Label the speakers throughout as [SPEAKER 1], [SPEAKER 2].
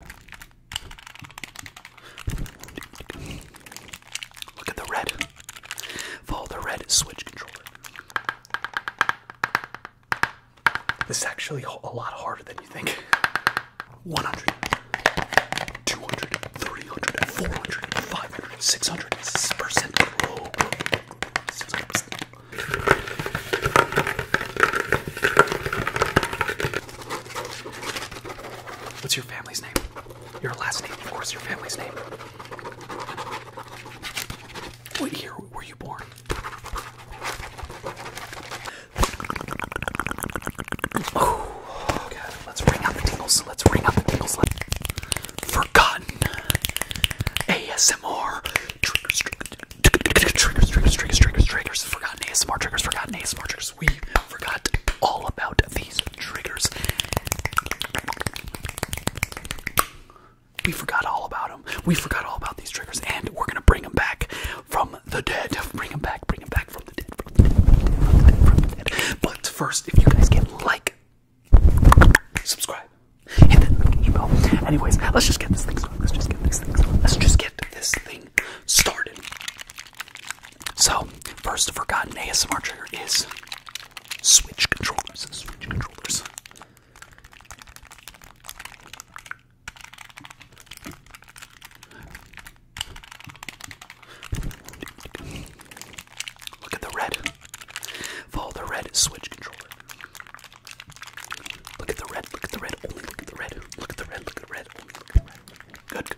[SPEAKER 1] Look at the red. Follow the red switch controller. This is actually a lot harder than you think. 100, 200, 300, 400, 500, 600, percent. Whoa, 600%. What's your family's name? Your last name, of course, your family's name. What year were you born? Let's ring out the tingles. Let's ring out the tingles. Forgotten ASMR triggers, triggers, triggers, triggers, triggers, forgotten ASMR triggers, forgotten ASMR triggers. We forgot all about these triggers. We forgot all about them. We forgot all about these triggers, and we're gonna bring them back from the dead. Bring them back, bring them back from the dead. From the dead, from the dead, from the dead. But first, if you guys can like, subscribe, hit that email. Anyways, let's just get this thing started. Let's just get this thing started. Let's just get this thing started. So, first forgotten ASMR trigger is switch controllers. Switch controllers. Look at the red. Follow the red switch controller. Look at the red, look at the red, only look at the red, look at the red, look at the red. Good.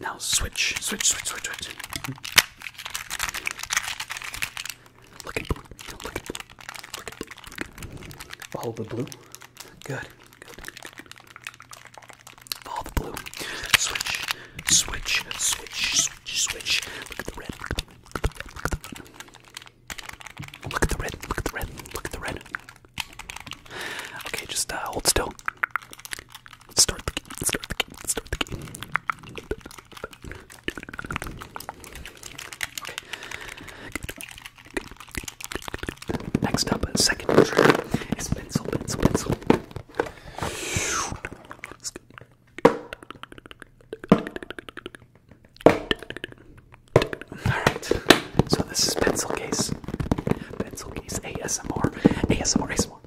[SPEAKER 1] Now switch, switch, switch, switch, switch. Look at blue. Look at blue. blue. Follow the blue. Good. Good. the blue. Switch, switch, switch, switch, switch. Look at the red. Look at the red, look at the red, look at the red. Okay, just uh, hold still. Let's start the game, let's start the game, let's start the game. Okay. Next up, second trigger is pencil, pencil, pencil. Alright, so this is pencil case. Pencil case ASMR. ASMR ASMR.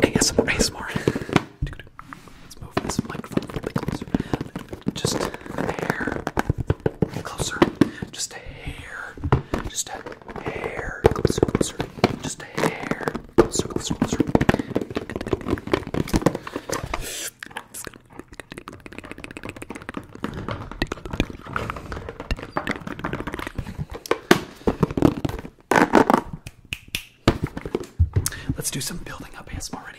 [SPEAKER 1] ASMR ASMR. Let's move this microphone a little closer. Just a hair closer. Just a hair. Just a hair closer, closer. Just a hair closer, closer, Let's do some building up ASMR already.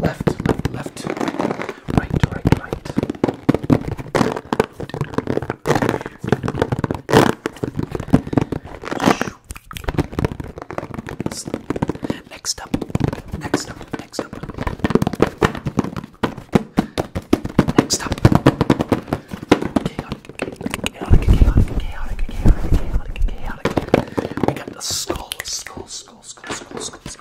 [SPEAKER 1] Left, left, left. Right, right, right. Next up, next up, next up. Next up. Chaotic, chaotic, chaotic, chaotic, chaotic, chaotic, chaotic. We got the skull, skull, skull, skull, skull, skull.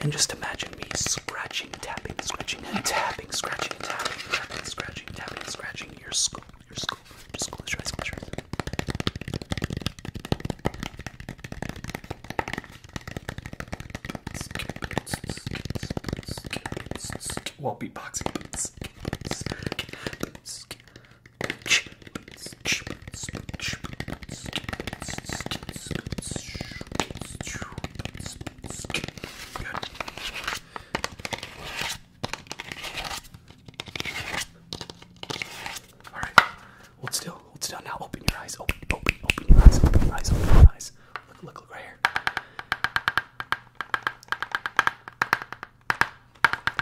[SPEAKER 1] And just imagine me scratching, tapping, scratching, and tapping, scratching, and tapping, tapping, scratching, tapping, and scratching your skull, your skull, your skull, your eyes, close your eyes. Well, beatboxing. All right. Hold still. Hold still. Now open your eyes. Open. Open. Open your eyes. Open your eyes. Open your eyes. Look right here.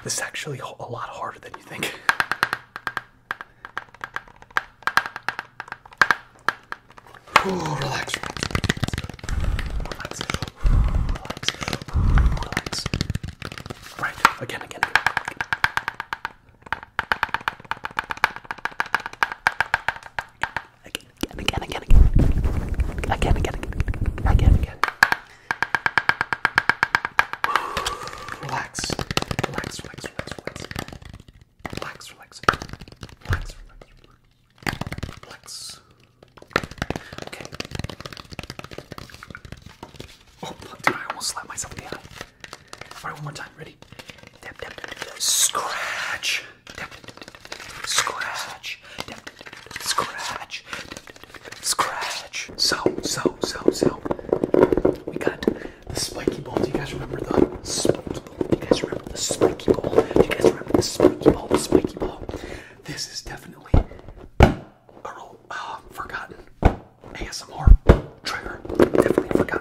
[SPEAKER 1] This is actually a lot harder than you think. Ooh, relax, relax, relax, relax. Right, again, again. Again, again, again, again. Again, again, again, again, again. again. Relax, relax, relax, relax, relax. Relax, relax. Relax, relax, Okay. Oh, dude, I almost slapped myself in the eye. Alright, one more time. Ready? Scratch. Scratch. Scratch. Scratch. So, so, so, so. We got the spiky ball. Do you guys remember the spiky ball? Do you guys remember the spiky ball? Do you guys remember the spiky ball? The spiky ball. This is definitely a real, uh, forgotten ASMR trigger. Definitely forgotten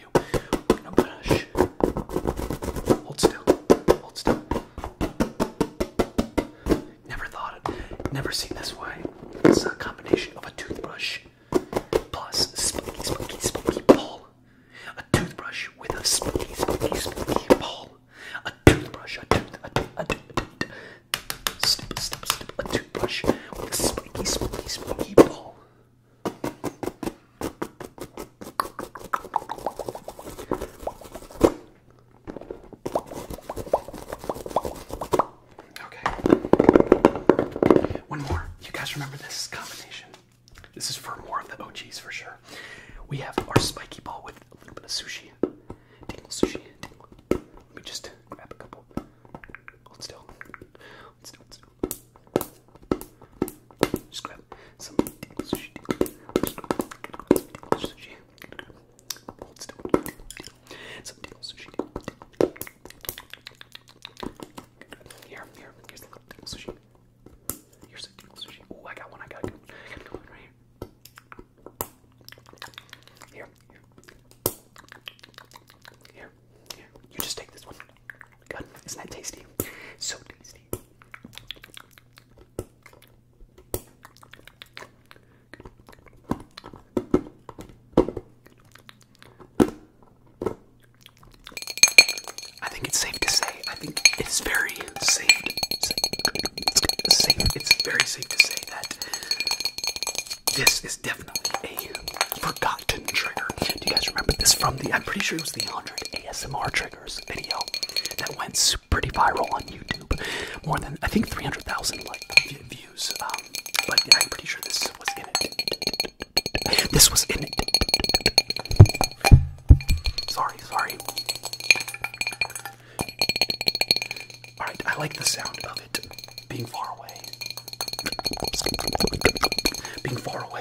[SPEAKER 1] of you. We're gonna brush. Hold still. Hold still. Never thought it. Never seen this way. It's a combination of a toothbrush plus spooky, spooky, spooky ball. A toothbrush with a spooky, spooky, spooky ball. A toothbrush. A tooth. A tooth. A tooth. Snip, snip, snip. A toothbrush with a spooky, spooky, spooky ball. Okay. One more. You guys remember this combination? This is for more of the OGs for sure. We have our spiky ball with a little bit of sushi. Tingle sushi. Tingle. Let me just grab a couple. Hold still. Hold still. Hold still. Here, here. Here's the little sushi. Here's the tickle sushi. Oh, I got one. I got one. I got one right here. Here, here. Here, here. You just take this one. isn't that tasty? So tasty. I think it's safe to say. I think it's very safe. It's safe. It's very safe to say that this is definitely a forgotten trigger. Do you guys remember this from the? I'm pretty sure it was the 100 ASMR trigger video that went pretty viral on YouTube. More than I think 300,000 views. Um, but I'm pretty sure this was in it. This was in it. Sorry, sorry. Alright, I like the sound of it being far away. Being far away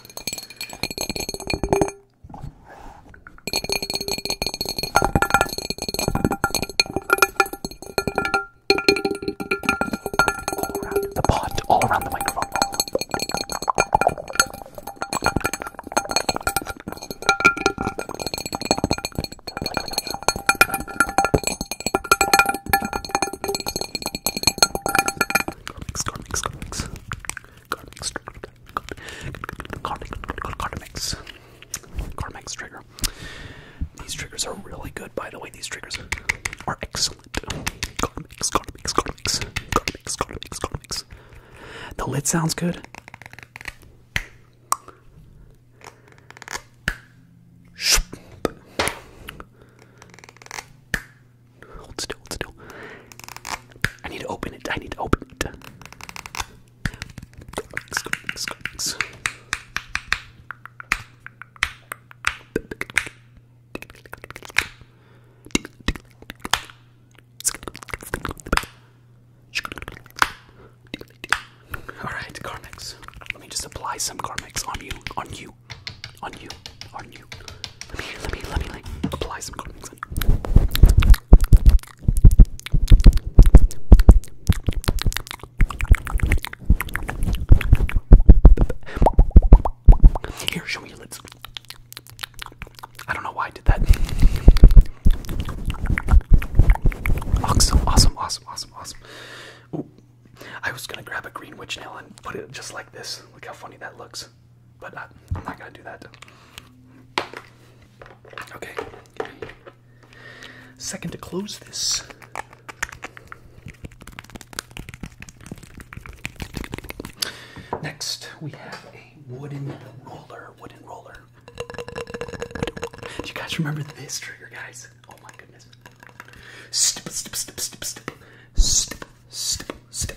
[SPEAKER 1] All around the pot, all around the microphone. Garmix, garmix, garmix. Carmex, Carmex, Carmex trigger. These triggers are really good, by the way. These triggers are, are excellent. Carmex, Carmex, Carmex, Carmex, Carmex, Carmex. The lid sounds good. Hold still, hold still. I need to open it. I need to open it. All right, Carmex. Let me just apply some Carmex on you, on you, on you, on you. Let me, let me, let me like apply some coatings on Here, show me your lips. I don't know why I did that. Awesome, awesome, awesome, awesome, awesome. Ooh, I was gonna grab a green witch nail and put it just like this. Look how funny that looks but I, am not gonna do that. Okay. Second to close this. Next, we have a wooden roller. Wooden roller. Do you guys remember this trigger, guys? Oh my goodness. Step, step, step, step, step. Step, step,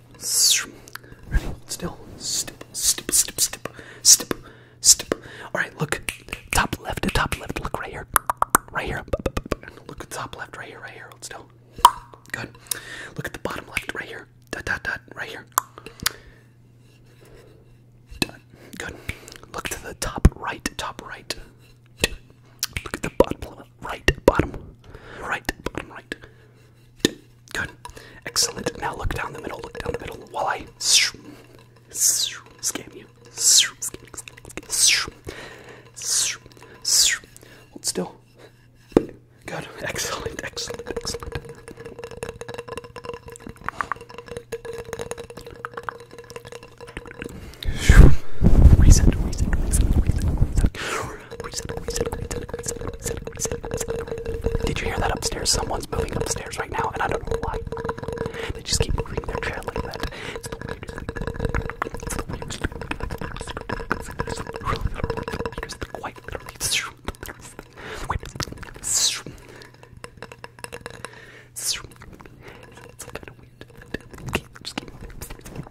[SPEAKER 1] Ready? Still. Stip, stip, stip, stip, stip, stip. All right, look. Top left to top left. Look right here. Right here. Look at top left. Right here. Right here. Hold still. Good. Look at the bottom left. Right here. Dot, dot, dot. Right here. Dot. Good. Look to the top right. Top right. Look at the bottom right. Bottom. Right. Bottom right. Good. Excellent. Now look down the middle. Look down the middle while I scam you. Hold still. Good. Excellent. Excellent. Excellent. Reset. Reset. Reset. Reset. Reset. Reset. Reset. Reset. Reset. Reset. Did you hear that upstairs? Someone's moving upstairs right now, and I don't know why. They just keep moving their chair like that. It's the weirdest thing. It's the weirdest thing. It's the weirdest thing. Quite literally. It's kind of weird. Just keep moving upstairs.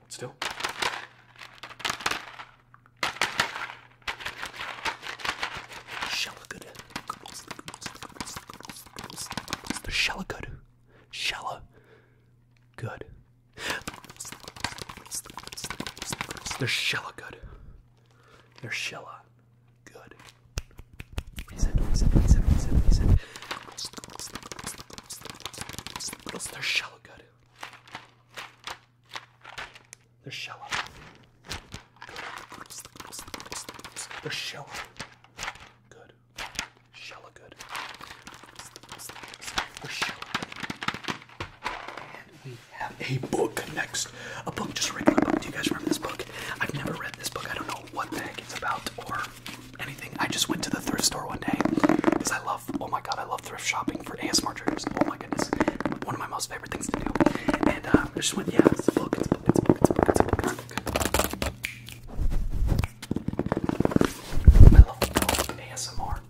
[SPEAKER 1] Hold still. Shell of good. The shell of good. Shell of good. They're shella good. They're shella good. Reset, reset, reset, they're shallow good. They're shallow. They're shallow. Good. Shallow good. They're shallow good. And we have a book next. A book, just a regular book. Do you guys remember this book? I've never read this book. I don't know what the heck it's about or anything. I just went to the thrift store one day because I love, oh my god, I love thrift shopping for ASMR triggers. Oh my goodness, one of my most favorite things to do. And uh, I just went, yeah, it's a book, it's a book, it's a book, it's a book, it's a book. It's a book. I love the book of ASMR.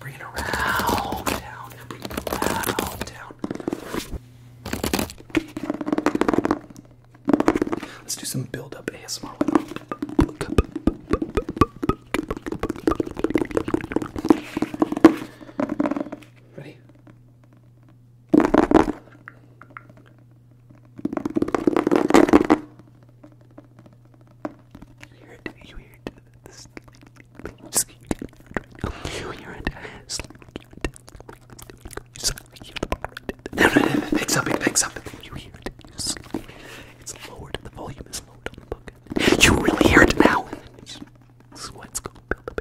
[SPEAKER 1] Bring it around down. Bring it around down. Let's do some build up ASMR with them. Ready? You hear it, you hear it, this you hear it, no, no, no, it picks up, it picks up, you hear it, it's lowered, the volume is lowered on the book, you really hear it now, sweat's gonna build up,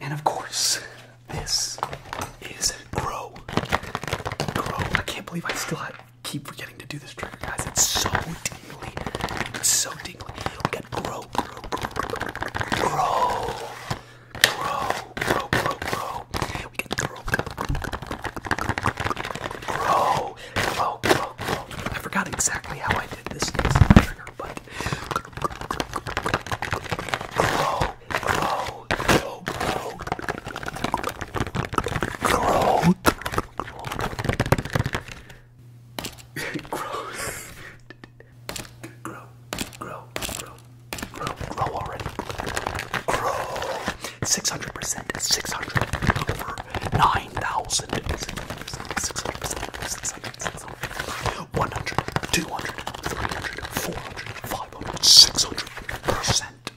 [SPEAKER 1] And of course, this is Grow. Grow. I can't believe I still have keep forgetting to do this trigger, guys. It's so dingly, It's so dingly. We got grow, grow, grow, grow, grow, grow, grow, grow. grow, grow, grow, I forgot exactly how I did this trigger, but grow, grow, grow, grow. Growth. Growth. Grow, grow, grow, grow, grow already. Grow. 600%, 600 over 9,000. 600%, 600%, 600, 600, 100, 200, 300, 400, 500, 600%.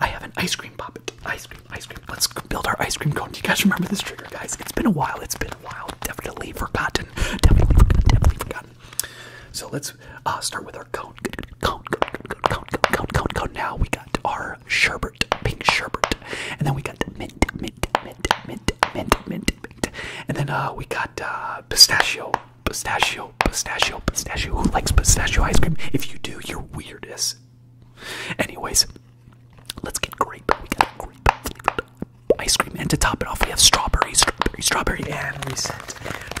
[SPEAKER 1] I have an ice cream puppet. Ice cream, ice cream. Let's build our ice cream cone. Do you guys remember this trigger, guys? It's been a while. It's been a while. Definitely forgotten. Definitely forgotten. Definitely forgotten. So let's uh, start with our cone. Cone, cone, cone, cone, cone, cone, Now we got our sherbet, pink sherbet, and then we got mint, mint, mint, mint, mint, mint, mint, and then uh, we got uh, pistachio, pistachio, pistachio, pistachio. Who likes pistachio ice cream? If you do, you're weirdest. Anyways, let's get grape. We got grape ice cream, and to top it off, we have strawberry, strawberry, strawberry, and reset,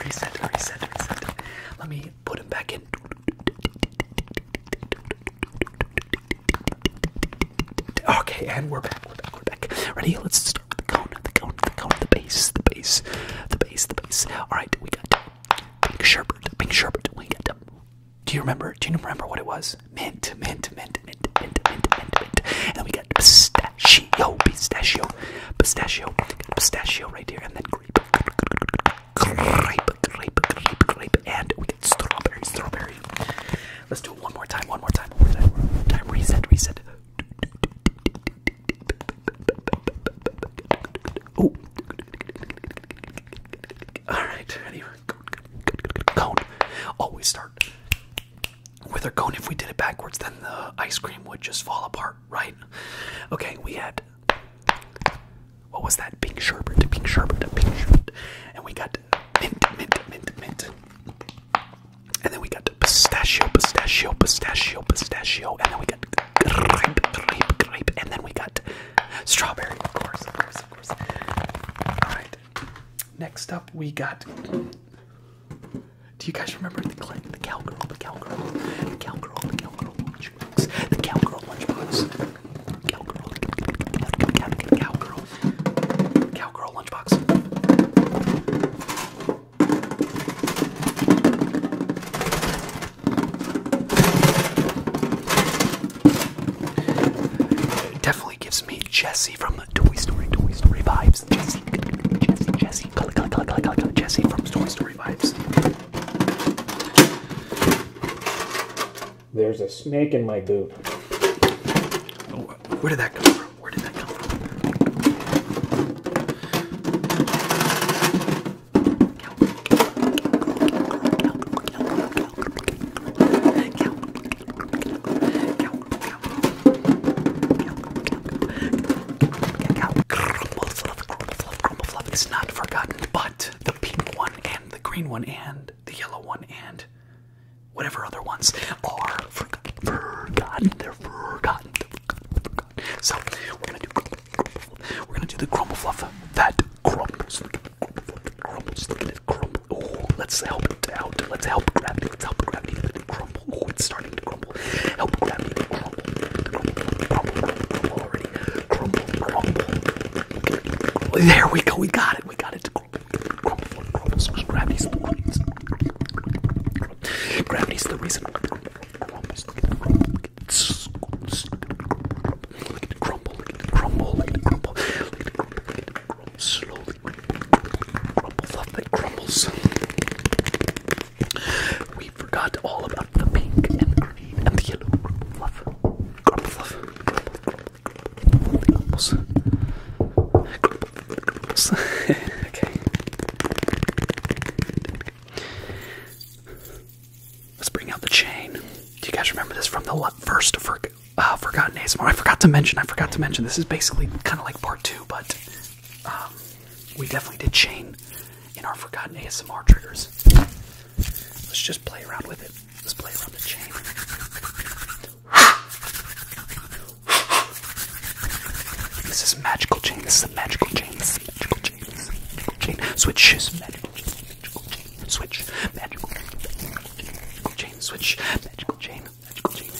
[SPEAKER 1] reset, reset, reset. Let me put them back in. Okay, and we're back. We're back. We're back. Ready? Let's start with the cone, the cone, the cone, the base, the base, the base, the base. All right, we got pink sherbet, pink sherbet. We got do you remember? Do you remember what it was? Mint, mint, mint, mint, mint, mint, mint, mint. And then we got pistachio, pistachio, pistachio, pistachio right here, and then grape, grape, grape, grape, grape, and we get strawberry, strawberry. Let's do it one more time, one more time, one more time, one more time. Reset, reset. Oh. All right. Cone. Always start with our cone. If we did it backwards, then the ice cream would just fall apart, right? Okay. We had what was that? Pink sherbet. Pink sherbet. Pink sherbet. And we got mint, mint, mint, mint. And then we got pistachio, pistachio, pistachio, pistachio. And then we got grape, grape, grape. And then we got Strawberry, of course, of course, of course. Alright. Next up we got Do you guys remember the clip? The cowgirl, the cowgirl, the cowgirl, the cowgirl lunchbox, the cowgirl lunchbox. Cowgirl, cowgirl, cowgirl, cowgirl lunchbox. Definitely gives me Jesse from the Toy Story, Toy Story vibes. Jesse, Jesse, Jesse, color, color, color, color, color, Jesse from Toy Story vibes. There's a snake in my boot. where did that come from? Where did that come from? Fluff is not forgotten, but the pink one and the green one and the yellow one and whatever other ones are forgotten. Forgotten. They're forgotten. They're forgotten. So we're gonna do we're gonna do the crumble fluffer. That crumbles. Crumbles. Look at it crumble. Oh, let's help it out. Let's help gravity. Let's help gravity. Let it crumble. Oh, it's starting to crumble. Help gravity to crumble. Crumble. Crumble. Crumble already. Crumble. Crumble. There we go. We got it. We got it to crumble. Crumble. Crumble. So gravity's the reason. Gravity's the reason. Crumbles. Look at it crumble crumble, crumble, crumble, slowly, crumble, that crumbles. We forgot all about the pink and the green and the yellow fluff. Crumble, fluff, crumble, crumbles. Crumbles. okay. Let's bring out the chain. Do you guys remember this from the first for, uh, Forgotten ASMR? Oh, I forgot to mention, I forgot to mention, this is basically kind of like part two, but um, we definitely did chain in our Forgotten ASMR triggers. Let's just play around with it. Let's play around the chain. This is magical chain. This is a magical chain. This is magical chain. magical chain. Switch is magical. Magical chain switch. Magical, magical chain switch. Magical chain. Magical chain.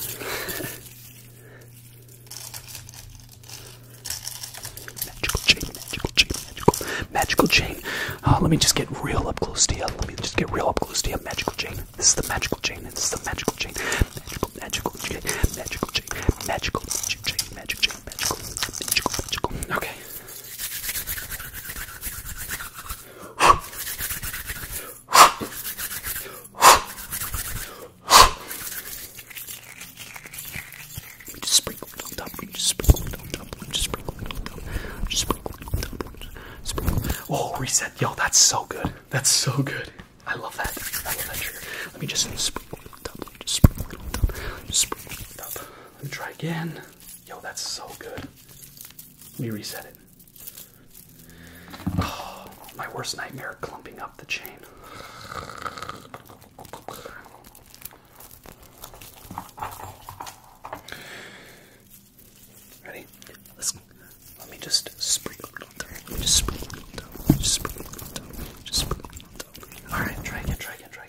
[SPEAKER 1] magical chain. Magical chain. Magical. Magical chain. Uh, let me just get real up close to you. Let me just get real up close to you. Magical chain. This is the magical chain. This is the magical chain. Magical. Magical chain. Magical chain. Magical. Magic chain. Magic chain. Magical. Magical. Magical. Okay. Let me just sprinkle it on top. Let me just sprinkle it on top. Let me just sprinkle it on top. Oh, reset, yo, That's so good. That's so good. I love that. Let me just sprinkle it on top. just sprinkle it on top. Just sprinkle it on top. Let me try again. Yo, that's so good. Let me reset it. Oh, my worst nightmare clumping up the chain. Ready? Let's, let me just sprinkle it on top. just sprinkle it on top. Just sprinkle it on top. Just sprinkle it on top. Alright, try again, try again, try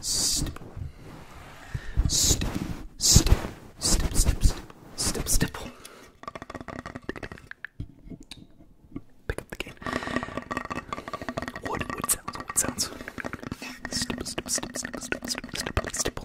[SPEAKER 1] Stipple. Stip, stip, stip, stip, stip, stip, stipple. Pick up the cane. Wood, wood sounds, wood sounds. Stip, stip, stip, stip, stip, stip, stip, stipple.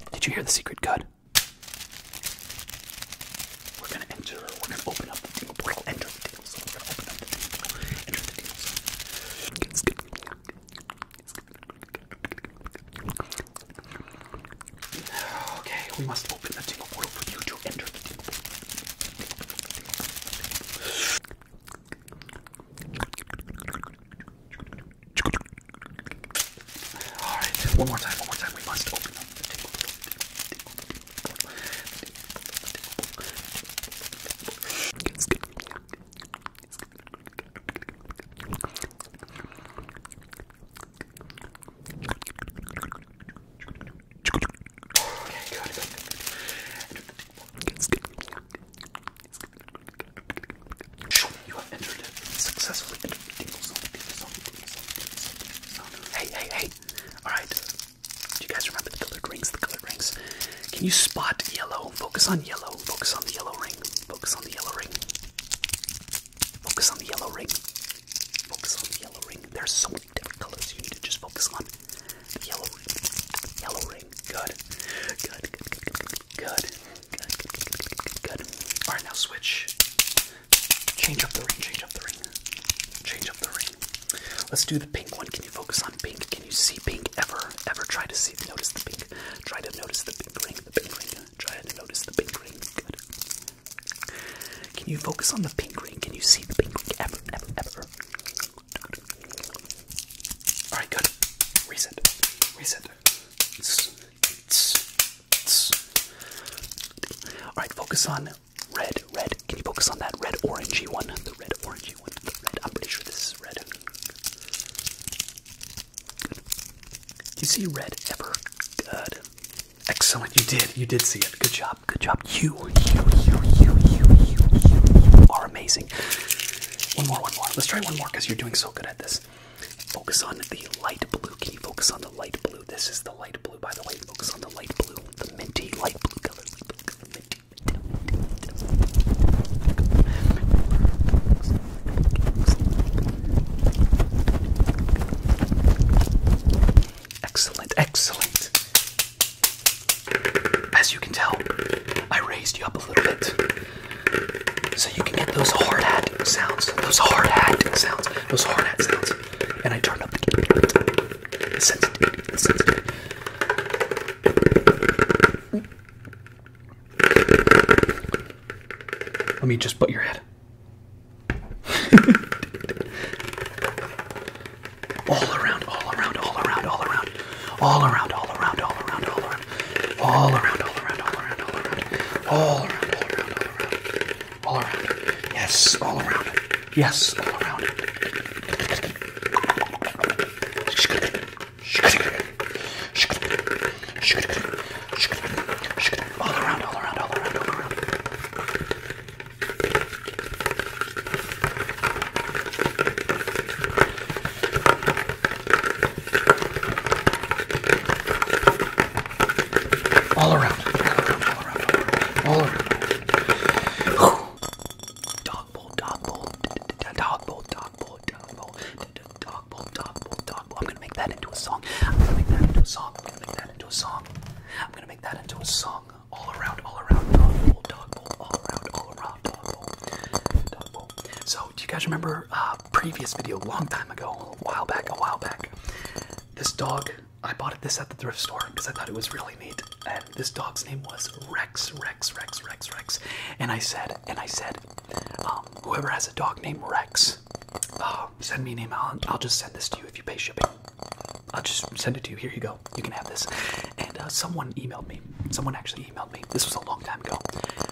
[SPEAKER 1] did you hear the secret code? We're gonna enter, we're gonna open up the dingle portal, enter the dingle we're gonna open up the dingle enter the dingle Okay, we must open the dingle portal for you to enter all right, one more time, one more time. We must open up the table. Okay, good. good. You have entered it. Successfully entered the tingle zone, tingle zone, tingle zone, tingle zone, tingle zone. Hey, hey, hey. Alright. Do you guys remember the colored rings? The colored rings. Can you spot yellow? Focus on yellow. Focus on the yellow ring. Focus on the yellow ring. Focus on the yellow ring. Focus on the yellow ring. There's so many different colors you need to just focus on. The yellow ring. Yellow ring. Good. Good. Good. Good. Good. Good, good, good, good, good, good, good. Alright, now switch. Change up the ring, change up the ring. Change up the ring. Let's do the pink one. Can you focus on pink? Can you see pink ever? Ever try to see, notice the pink. Try to notice the pink ring, the pink ring. Try to notice the pink ring. Good. Can you focus on the pink ring? Can you see the pink ring ever, ever, ever? Alright, good. Reset. Reset. It's all right, focus on red, red. Can you focus on that red orangey one? The red orangey one. The red. I'm pretty sure this is red. you see red ever? Good. Excellent. You did. You did see it. Good job. Good job. You, you, you, you, you, you, you are amazing. One more, one more. Let's try one more because you're doing so good at this. Focus on the light blue. key. focus on the light blue? This is the light blue, by the way. Focus on the light blue, the minty light blue color. Excellent, excellent. As you can tell, I raised you up a little bit. So you can get those hard hat sounds, those hard hat sounds, those hard hat sounds. And I turn up the sensitivity. Let me just butt your head. all around, all around, all around, all around, all around, all around, all around, all around around, all around, all around, all around, all around, all around, all around, all around, all around. Yes, all around. Yes, all around. All around, all around, all around, all around. All around, all around, all around, all around. All around. Dog bowl, dog bowl, dog bowl, dog bowl, dog bowl, dog bowl, dog bowl, dog bowl. I'm gonna make that into a song. I'm gonna make that into a song. I'm gonna make that into a song. I'm gonna make that into a song. All around, all around, dog bowl, dog bowl, all around, all around, dog bowl, dog bowl. So, do you guys remember uh, previous video a long time ago, a while back, a while back. This dog, I bought this at the thrift store because I thought it was really neat. And this dog's name was Rex, Rex, Rex, Rex, Rex. And I said, and I said, um, whoever has a dog named Rex, uh, send me an email. And I'll just send this to you if you pay shipping. I'll just send it to you. Here you go. You can have this. And uh, someone emailed me. Someone actually emailed me. This was a long time ago.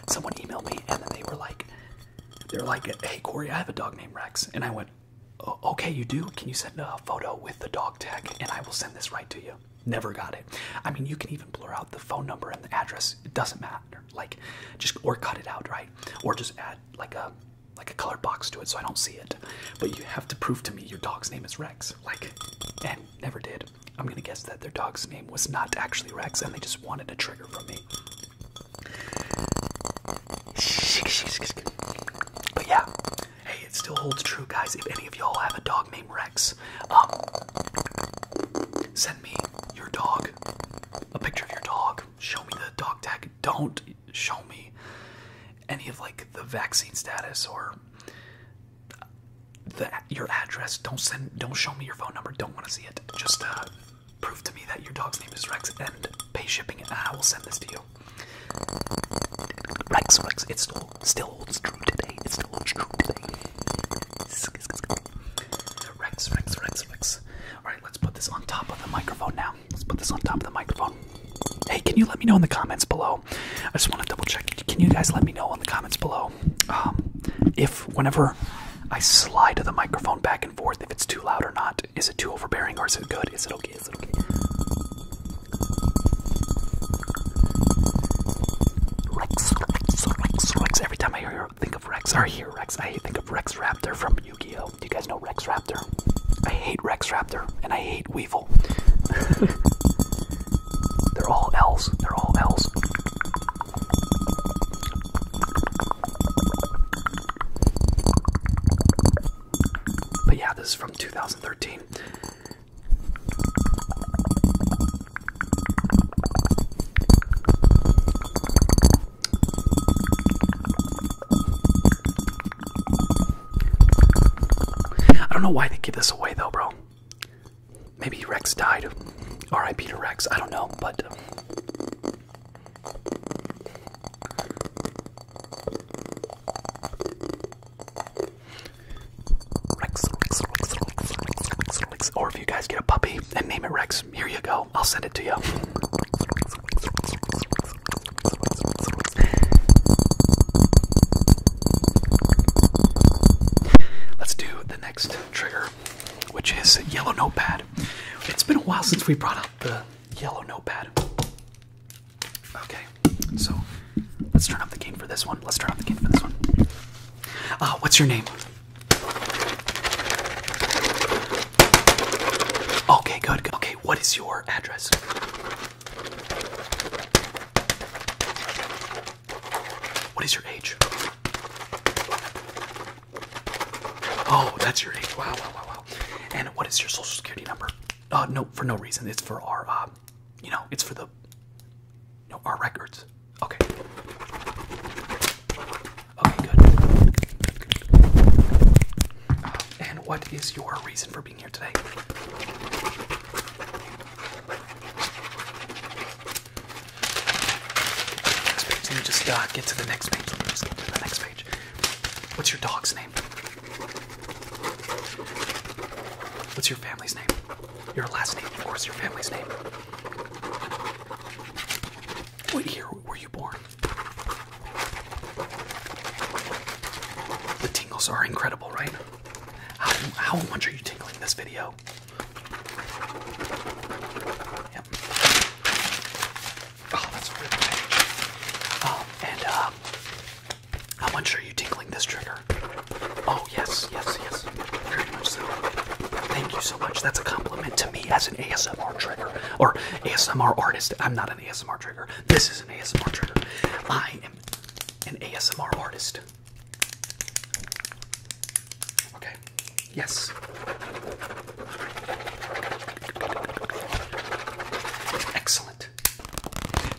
[SPEAKER 1] Someone emailed me, and then they were like they're like, hey Corey, I have a dog named Rex, and I went, okay, you do. Can you send a photo with the dog tag, and I will send this right to you. Never got it. I mean, you can even blur out the phone number and the address. It doesn't matter. Like, just or cut it out, right? Or just add like a like a colored box to it so I don't see it. But you have to prove to me your dog's name is Rex. Like, and never did. I'm gonna guess that their dog's name was not actually Rex, and they just wanted a trigger from me. But yeah, hey, it still holds true, guys. If any of y'all have a dog named Rex, um, send me your dog, a picture of your dog. Show me the dog tag. Don't show me any of like the vaccine status or that your address. Don't send. Don't show me your phone number. Don't want to see it. Just uh, prove to me that your dog's name is Rex and pay shipping, and I will send this to you. Rex, Rex. It still still holds true today. It still holds true today. Rex, Rex, Rex, Rex. All right, let's put this on top of the microphone now. Let's put this on top of the microphone. Hey, can you let me know in the comments below? I just want to double check. Can you guys let me know in the comments below um, if whenever I slide the microphone back and forth if it's too loud or not. Is it too overbearing or is it good? Is it okay? Is it okay? Rex, Rex, Rex, Rex. Every time I hear, you, think of Rex, I hear Rex, I think of Rex Raptor from Yu Gi Oh! Do you guys know Rex Raptor? I hate Rex Raptor and I hate Weevil. They're all L's. They're all L's. But yeah, this is from 2013. I don't know why they give this away though, bro. Maybe Rex died. R.I.P. to Rex. I don't know, but. Uh, Rex, Rex, Rex, Rex, Rex, Rex, Rex. Or if you guys get a puppy and name it Rex, here you go. I'll send it to you. Let's do the next trigger which is Yellow Notepad. It's been a while since we brought out the Yellow Notepad. Okay, so let's turn up the game for this one. Let's turn up the game for this one. Uh, what's your name? Okay, good. Okay, what is your address? What is your age? Oh, that's your age. Wow, wow, wow, wow. And what is your social security number? Uh, no, for no reason. It's for our, uh, you know, it's for the, you know, our records. Okay. Okay, good. Uh, and what is your reason for being here today? Let me just uh, get to the next page. Let me just get to the next page. What's your dog's name? What's your family's name? Your last name, of course, your family's name. What year were you born? The tingles are incredible, right? How, how much are you tingling this video? Yep. Oh, that's really big. Um, and uh, how much are you tinkling this trigger? Oh yes, yes, yes. Very much so. Thank you so much. That's a compliment to me as an ASMR trigger or ASMR artist. I'm not an ASMR trigger. This is an ASMR trigger. I am an ASMR artist. Okay. Yes. Excellent.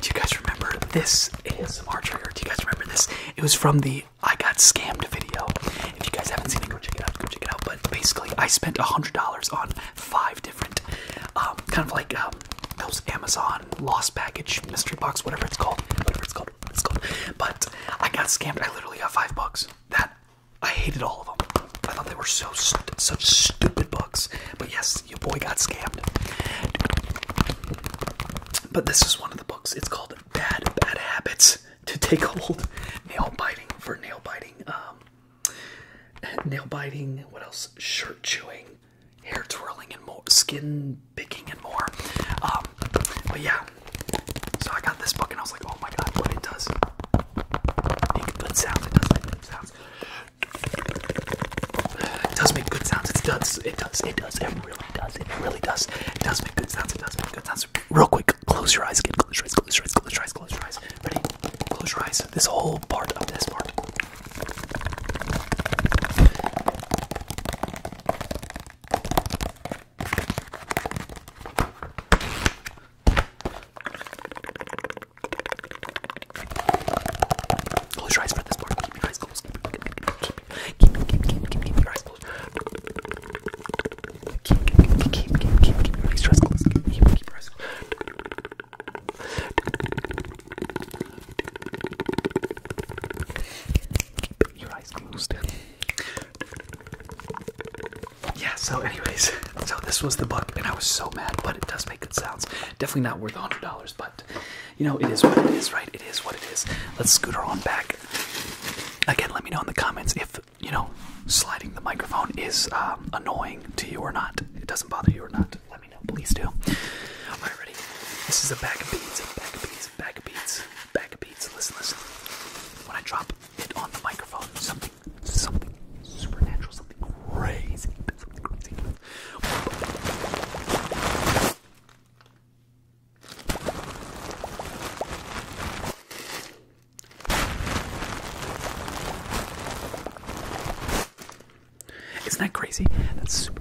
[SPEAKER 1] Do you guys remember this ASMR trigger? Do you guys remember this? It was from the I Got Scammed video. If you guys haven't seen it, go check it out. Go check it out. But basically, I spent $100 on five different, um, kind of like um, those Amazon lost package mystery box, whatever it's called. Whatever it's called. But I got scammed. I literally got five bucks. That I hated all of them. I thought they were so st stupid books. But yes, your boy got scammed. But this is one of the books. It's called Bad Bad Habits to Take Hold. Nail biting for nail biting. Um, nail biting. What else? Shirt chewing, hair twirling, and Skin picking and more. Um, but yeah, so I got this book and I was like, oh my god, what it does. Make good sounds. It does make good sounds. It does make good sounds. It does. It does. It does. It really does. It really does. It does make good sounds. It does make good sounds. Real quick, close your eyes again. Close your eyes. Close your eyes. Close your eyes. Close your eyes. Ready? Close your eyes. This whole part of this part. Close your eyes for this part. Keep your eyes closed. Keep, keep, keep, keep, keep, keep your eyes closed. Keep, keep, keep, keep, keep, keep, keep your eyes closed. Keep, keep, keep your eyes closed. Keep your eyes closed. Yeah, so anyways, so this was the book, and I was so mad, but it does make good sounds. Definitely not worth $100, but you know, it is what it is, right? It is what it is. Let's scooter on back. Again, let me know in the comments if, you know, sliding the microphone is um, annoying to you or not. It doesn't bother you or not. Let me know, please do. Alright, ready? This is a bag of beans, a bag of beans bag of beats, bag of beats. Listen, listen. When I drop it on the microphone, something, something supernatural, something crazy, Isn't that crazy? That's super.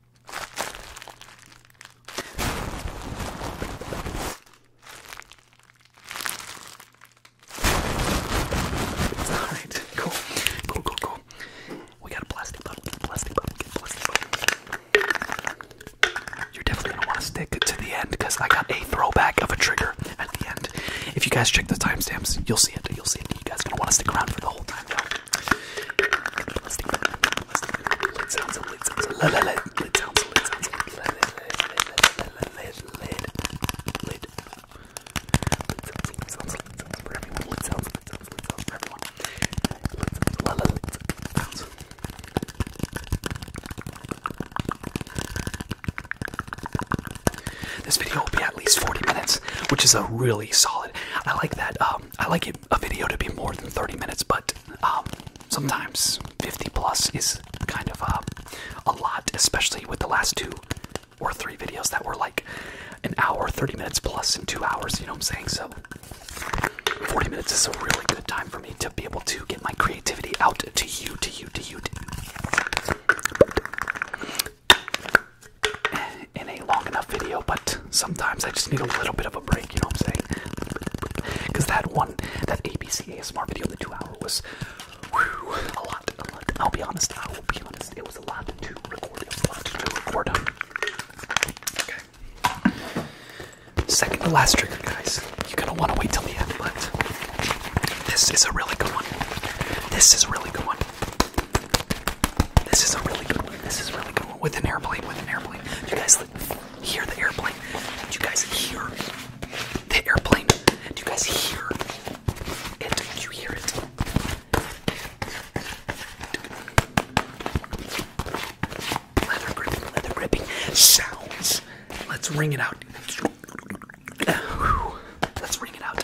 [SPEAKER 1] All right, cool, cool, cool, cool. We got a plastic bottle, plastic bottle, plastic bottle. You're definitely gonna want to stick to the end because I got a throwback of a trigger at the end. If you guys check the timestamps, you'll see it. You'll see it. You guys gonna want to stick around for the whole time, though. This video will be at least 40 minutes, which is a really solid. I like that. Um, I like it a video to be more than 30 minutes, but um, sometimes 50 plus is kind of uh, a lot, especially with the last two or three videos that were like an hour, 30 minutes plus, and two hours, you know what I'm saying? So 40 minutes is a really good time for me to be able to get my creativity out to you, to you, to you. To you in a long enough video, but sometimes I just need a little bit of a break, you know what I'm saying? Because that one, that ABC ASMR video, the two hour was a lot. I'll be honest, I will be honest, it was a lot to record, it was a lot to record. Okay. Second to last trigger, guys. You're gonna wanna wait till the end, but this is a really good one. This is a really good one. This is a really good one. This is really good one. With an airplane, with an airplane. Do you guys hear the airplane? Do you guys hear the airplane? Do you guys hear it? Do you hear it? Leather gripping, leather gripping sounds. Let's ring it out. Let's ring it out.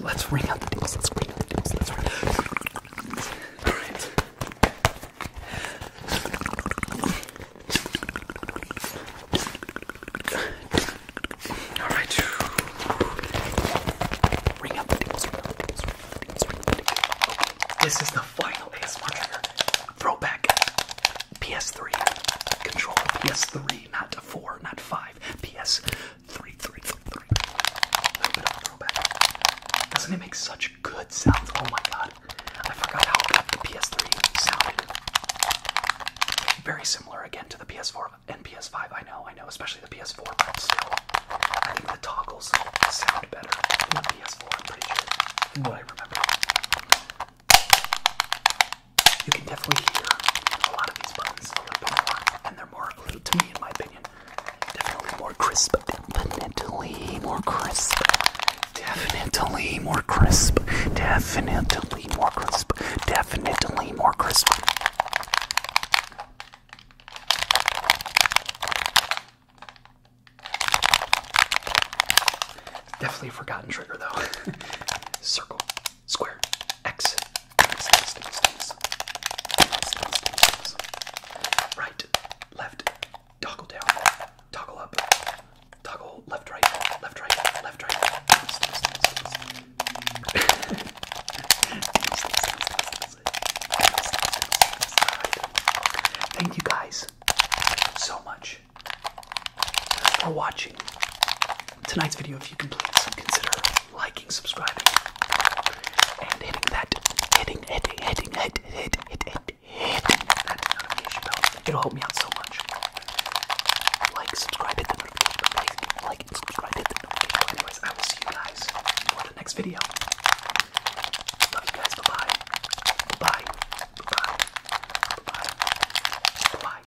[SPEAKER 1] Let's ring out the deals. Let's ring out the dings. Let's ring out the dings. All right. All right. Ring out the dings. This is the final ASMR ever. Throwback PS3 controller. PS3, not 4, not 5. PS 3333. Doesn't it make such good sounds? Oh my god. I forgot how good the PS3 sounded. Very similar again to the PS4 and PS5. I know, I know, especially the PS4, but still. I think the toggles sound better than the PS4, I'm pretty sure. What I remember. You can definitely hear a lot of these buttons a little bit more, and they're more, to me, in my opinion, definitely more crisp. Definitely more crisp. Definitely more crisp. Definitely more crisp. Definitely more crisp. Definitely a forgotten trigger though. Circle. Square. X. X, X, X, X. X, X, X. Right. Left. Toggle down. Toggle up. Toggle left, right. Left, right. Left, right. X, X, X, X. Thank you guys so much for watching tonight's video, if you can please consider liking, subscribing, and hitting that hitting hitting hitting hit hit hit hit hitting that notification bell. It'll help me out so much. Like, subscribe, hit the notification bell. Like, like, subscribe, hit the notification bell. Anyways, I will see you guys for the next video. Love you guys. Bye bye. Bye bye. Bye bye. Bye bye.